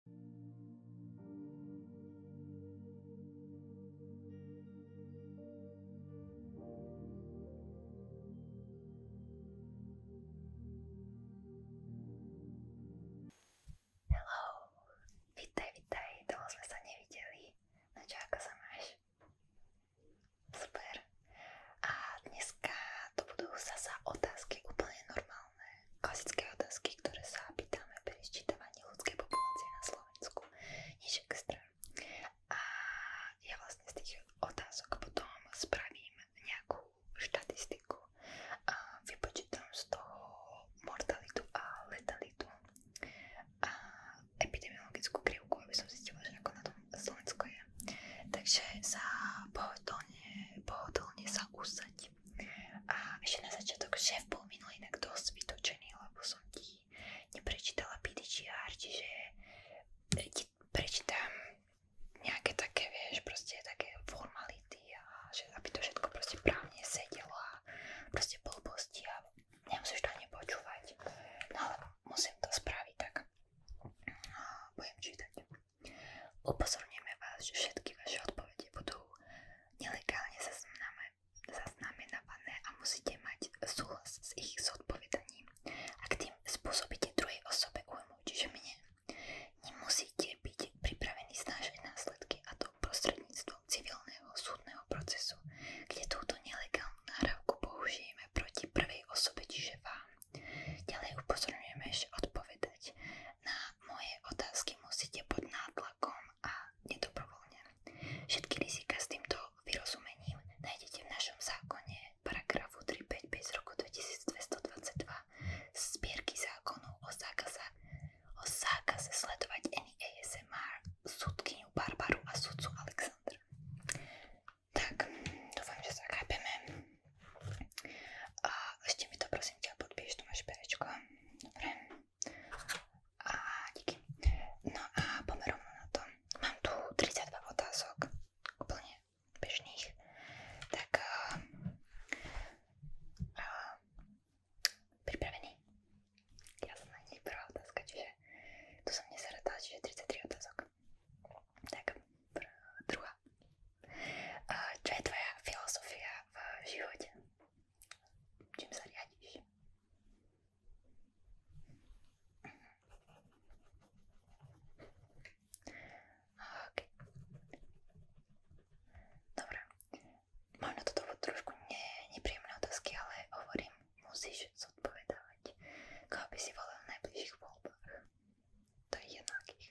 Hello, vítaj, vítaj, dlho sme sa nevideli. No čo, ako máš? Super. A dneska to budú zasa otázky úplne normálne normálne klasické otázky, ktoré sa pýtame pri sčítavaní ľudskej na Slovensku. Nič extra. A ja vlastne z tých otázok potom spravím nejakú štatistiku a vypočítam z toho mortalitu a letalitu a epidemiologickú krivku, aby som zistila, že ako na tom Slovensko je. Takže sa pohodlne, pohodlne sa usaď. A ešte na začiatok šéf bol minulý inak dosť vytočený, lebo som ti neprečítala PDGR, čiže ti prečítam nejaké také, vieš, proste také formality a že aby to všetko proste právne sedelo a proste blbosti a nemusíš to ani počúvať. No ale musím to spraviť, tak no, budem čítať. Upozorníme vás, že všetky vaše odpovede budú nelegálne zaznamenávané a musíte mať súhlas s ich zodpovedaním. Ak tým spôsobíte druhej osobe újmu, čiže mne, nemusíte byť pripravení znášať následky a to prostredníctvom civilného súdneho procesu, kde túto nelegálnu nahrávku použijeme proti prvej osobe, čiže vám. Ďalej upozorňujeme, že odpovedať na moje otázky musíte pod nátlakom a nedobrovoľne. Všetky rizika s týmto vyrozumením nájdete v našom zákone paragrafu 355 z roku 2222 z zbierky zákonov o zákaze, o zákaze sledovať NASMR súdkyňu Barbaru a sudcu Alexandra. Tak, dúfam, že sa chápeme. A ešte mi to prosím prosím ťa podpíš to vaše perečko. Dobre. A díky. No a poďme rovno na to. Mám tu 32 otázok, úplne bežných. Tak uh, uh, pripravený? Jasná, nie prvá otázka, čiže tu som nezaradala, čiže 33 otázok. Tak, pr druhá. Čo je tvoja filozofia v živote? Čím sa riadiš? Okay. Dobre. Možno toto budú trošku ne, nepríjemné otázky, ale hovorím, musíš zodpovedávať. Koho by si volal v najbližších voľbách? To je jednakých.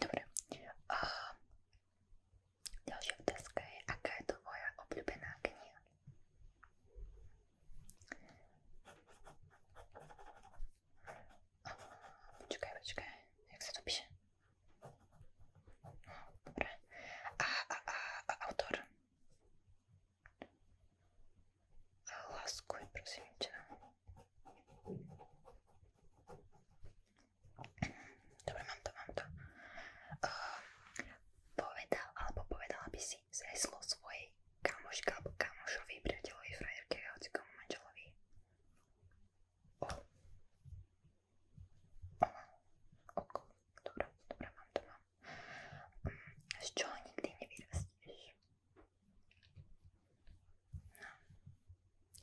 Dobre. Uh, ďalšia otázka je, aká je to moja obľúbená kniha? Počkaj, počkaj, jak sa to píše? No, dobre. A, a, a, a autor? Láskuj, prosím ťa. Dobre, mám to, mám to. Uh, povedal, alebo povedala by si zreslo svojej kamoške alebo kamošovi, priateľovi, frajerke, hocikomu manželovi. Oh. Oh. Oko. Dobre, dobre, mám to, mám. Um, z čoho nikdy nevyrastieš? No,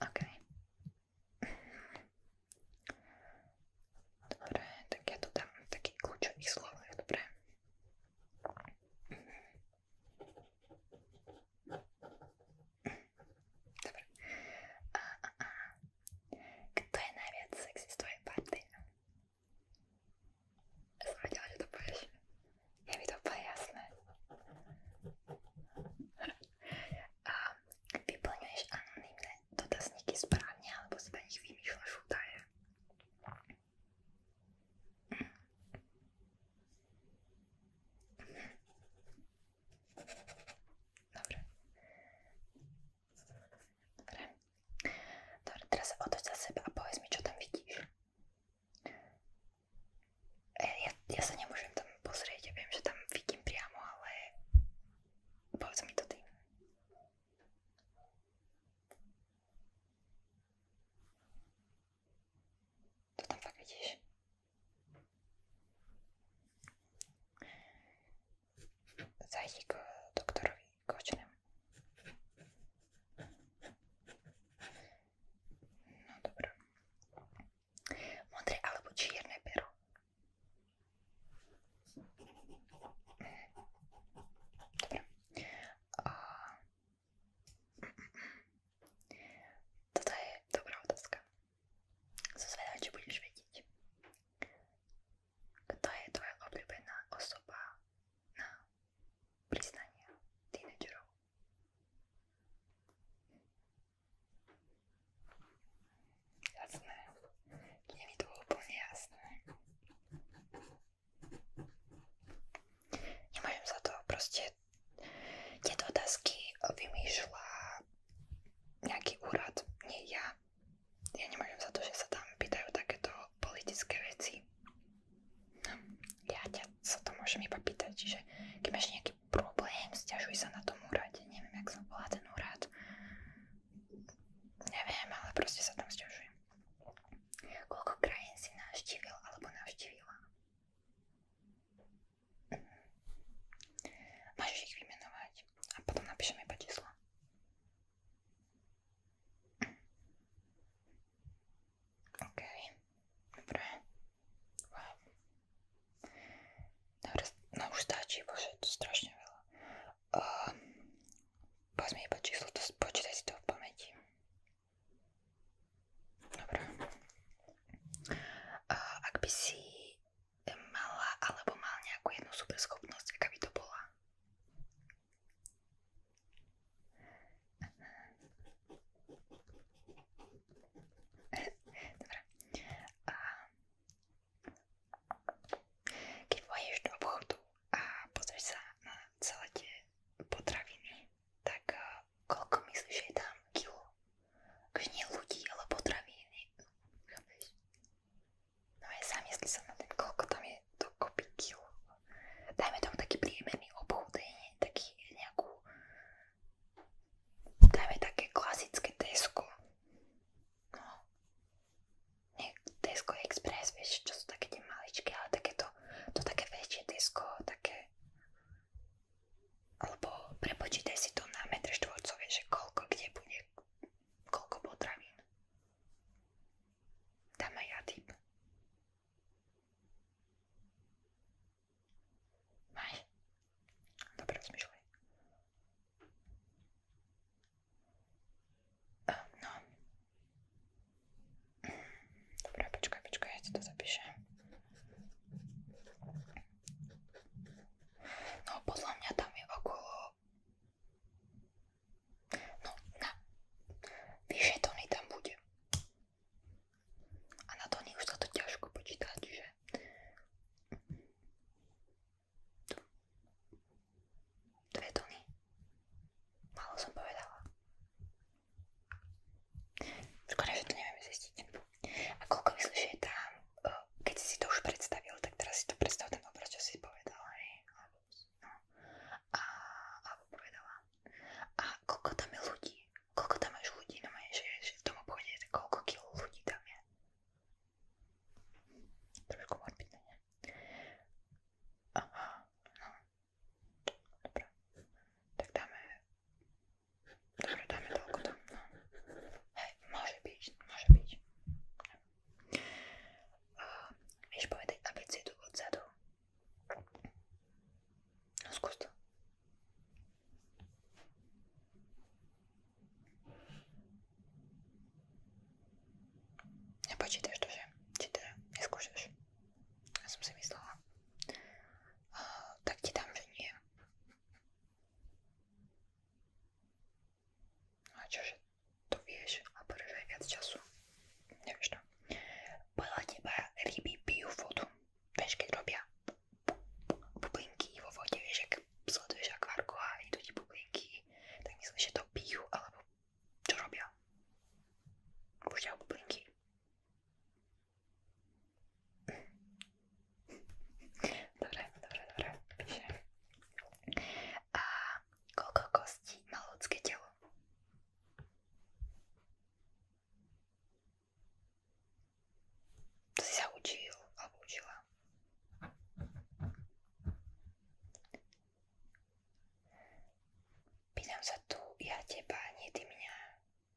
okej. Okay. Dobre, tak ja no to dám v takých kľúčových slovách, dobre? Dobre. A, a, a. Kto je najviac sexy z tvojej party? Ja som vedela, že to povieš. Je mi to úplne jasné. A vyplňuješ anonimné dotazníky správne, alebo si na nich vymýšľaš údaje. Dobre. Dobre. Dobre, teraz sa otoč za seba a povedz mi, čo tam vidíš. Eh, ja, ja sa nemôžem tam pozrieť, ja viem, že tam vidím priamo, ale povedz mi to ty. To tam fakt vidíš? Zajdi k doktorovi Kočnemu. No dobré. Modré alebo čierne pero? Dobre. A... Toto je dobrá otázka. Som zvedavá, či budeš vedieť. Kto je tvoja obľúbená osoba na priznania tínedžerov. Jasné, nie mi to úplne jasné. Nemôžem za to, proste tieto otázky vymýšľa nejaký úrad, nie ja. Ja nemôžem za to, že sa tam pýtajú takéto politické veci. No, ja ťa sa to môžem iba pýtať, čiže keď máš nejaký problém, sťažuj sa na tom úrade, neviem, jak sa volá ten úrad. Neviem, ale proste sa tam sťažujem. Koľko krajín si navštívil alebo navštívila? Môžeš ich vymenovať a potom napíšem iba číslo. OK. Dobre. Wow. Dobre, no už stačí, bože, to strašne veľa. Uh, Povedz mi iba číslo, to, počítaj si to v pamäti. Dobre. Uh, ak by si mala alebo mal nejakú jednu superschopnosť, aká by to bola? Dobre. A keď pôjdeš do obchodu a pozrieš sa na celé tie potraviny, tak eh, koľko myslíš, že je tam kilo? Akože nie ľudí, ale potraviny. Chápeš? No ja zamysli sa na ten, koľko tam je to to copy kill. Dajme tomu taký príjemný obchod, taký nejakú, dajme také klasické Tesco. No. Nie Tesco Express, vieš, čo sú také tie maličké, ale takéto, to také väčšie Tesco, také, alebo prepočítaj si to na metr štvorcový, že koľko kde bude, koľko potravín. Dám aj ja tip. Maj. Dobre rozmýšľaj. Ehm, no. Dobre, počkaj, počkaj, ja ti to zapíšem. No, podľa mňa tam je okolo... No, na. Vyše tony tam bude. A na to už sa to ťažko počítať, že? Dve tony. Málo som povedala. Škoda, že to nevieme zistiť. A koľko myslíš, že je tam? E, keď si to už predstavil, tak teraz si to predstav ten obraz, čo si povedal, hej? Alebo, no. A, alebo povedala. A koľko tam je ľudí? Koľko tam máš ľudí? No mene, že, že v tom obchode je koľko kilo ľudí tam je? Trošku morbidné, ne? Aha, no. Dobre. Tak dáme... Dobre, dáme toľko tam, no. Hej, môže byť, môže byť. Uh, vieš povedať abecedu odzadu? Ну, вкусно. Не почитаешь тоже. Читаю. Не скушаешь. Я сам замислила. А, так ти там же не. А чё же? То вещь, а порыжай от часу. Не вижу. takto. Teda. Podľa teba ryby pijú vodu. Vieš, keď robia bublinky vo vode, vieš, ak sleduješ akvárku a idú ti bublinky, tak myslíš, že to pijú, alebo čo robia? Púšťajú bublinky. Dobre, dobre, dobre. A koľko kostí má ľudské telo? To si sa učil alebo učila. Pýtam sa tu, ja teba, nie ty mňa.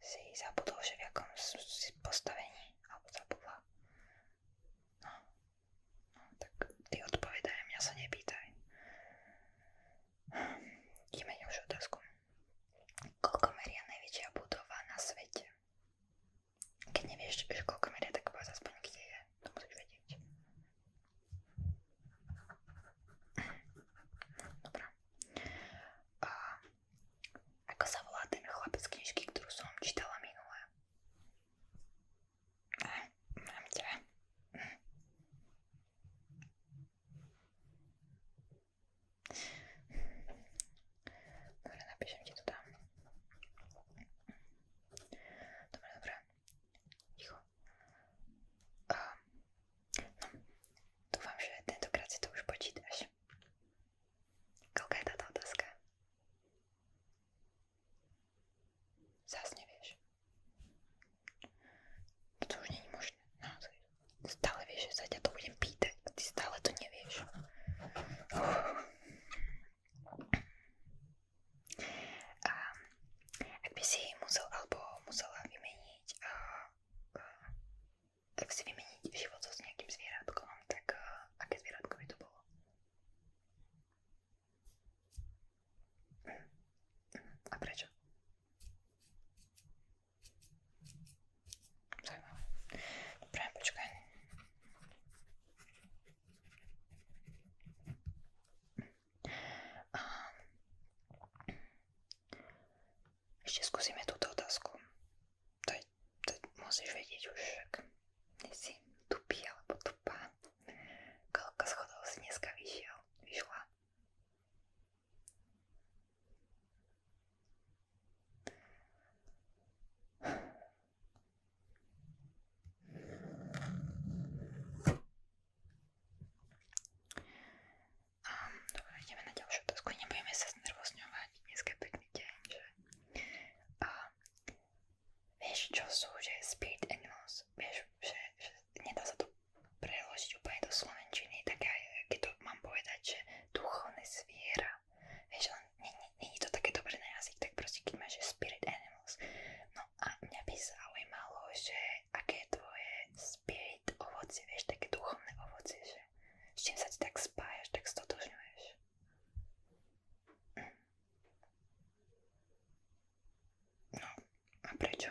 Si zabudol, že v jakom si postavení, alebo zabudla. No, no tak ty odpovedaj, mňa sa nepýtaj. Ideme na už otázku. Koľko meria najväčšia budova na svete? Keď nevieš, že koľko meria, tak povedz aspoň, kde je. To musíš vedieť. Dobrá. A, ako sa volá ten chlapec knižky, ktorú som čítala minule? Hm, mám ťa. Hm. Dobra, na gdzie to dam. Dobra, dobra. Cicho. Um, no, ufam, że tę edukację to już poczytać. Kogo ta ta deska? Zaraz nie wiesz. To už nie je možné, naozaj. Stále vieš, že sa ťa to budem pýtať a ty stále to nevieš. Uf. A ak by si musel alebo musela vymeniť a, a, ak si vymeniť život so s nejakým zvieratkom, tak a, aké zvieratko by to bolo? A prečo? Zajímavé. Dobre, počkaj. A... Ešte skúsime túto otázku. To, je, to musíš vedieť už, však nie si tupý alebo tupá. Koľko schodov si dneska vyšiel, vyšla? Um, dobre, ideme na ďalšiu otázku. Nebudeme sa znervozňovať. Dnes je pekný deň, že? Uh, vieš, čo sú, že spirit animals? Vieš, že, že nedá sa to preložiť úplne do slovenčiny, tak aj keď to mám povedať, že duchovné zviera, vieš, len není to také dobré na jazyk, tak proste keď máš spirit animals. No a mňa by zaujímalo, že aké je tvoje spirit ovocie, vieš, také duchovné ovocie, že s čím sa ti tak spájaš, tak stotožňuješ. No, a prečo?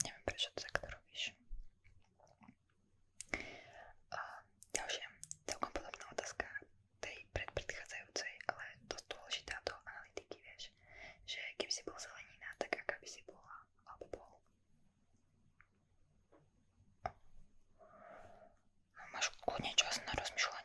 Neviem, prečo to takto robíš. A ďalšia, celkom podobná otázka tej predpredchádzajúcej, ale dosť dôležitá do analytiky, vieš, že keby si bol zelenina, tak aká by si bola, alebo bol. No, máš kľudne čas na rozmýšľanie.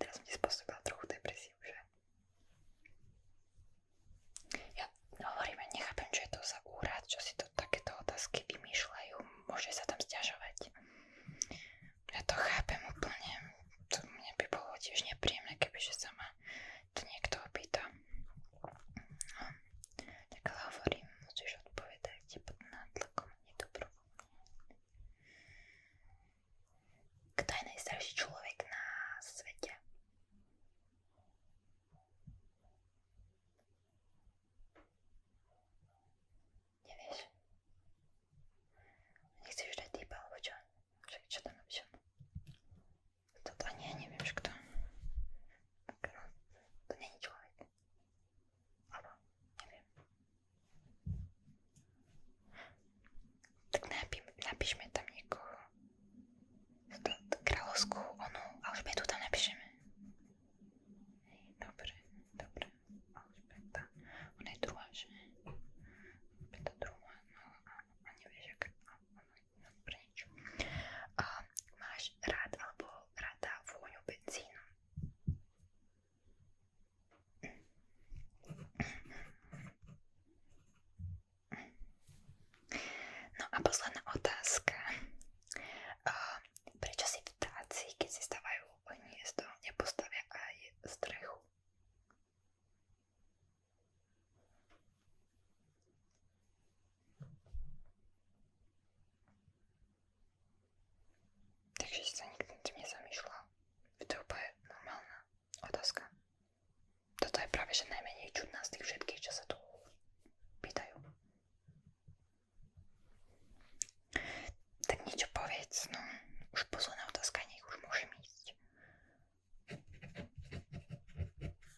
Teraz som ti spôsobila trochu depresiu, že? Ja hovorím, nechápem, čo je to za úrad, čo si to takéto otázky vymýšľajú, môže sa tam sťažovať. Ja to chápem úplne, tiež nepríjemné, kebyže sa ma to niekto opýta. Tak ale hovorím, musíš odpovedať pod nátlakom, nedobrovoľne. Kto je najstarší človek na svete? Nevieš? Nechceš dať týpa, alebo čo? Však čo tam napíšem? Toto ani ja neviem, že kto. Как раз то меня не человек. Она, не wiem. Tak napi napiszmy tam nikogo. Królowską onu Elżbietę tam napiszemy. Dobry, dobry. Elżbieta. Ona jest druga, że? Elżbieta druga, no a, a nie wiesz jak... A, ona, dobra preč. A máš rád alebo rada vôňu benzínu? No a posledná otázka. Uh, prečo si vtáci, keď si stavajú hniezdo, nepostavia aj strechu? Takže si sa nikto tým nezamýšľal. To je úplne normálna otázka. Toto je práve že najmenej čudná z tých všetkých, čo sa tu pýtajú. Tak niečo povedz, no. Už posledná otázka, nech už môžem ísť.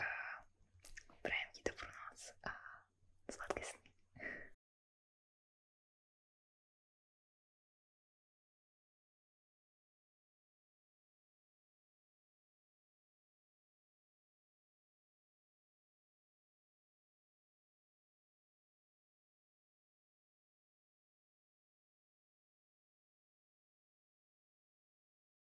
a prajem ti dobrú noc a sladké sny.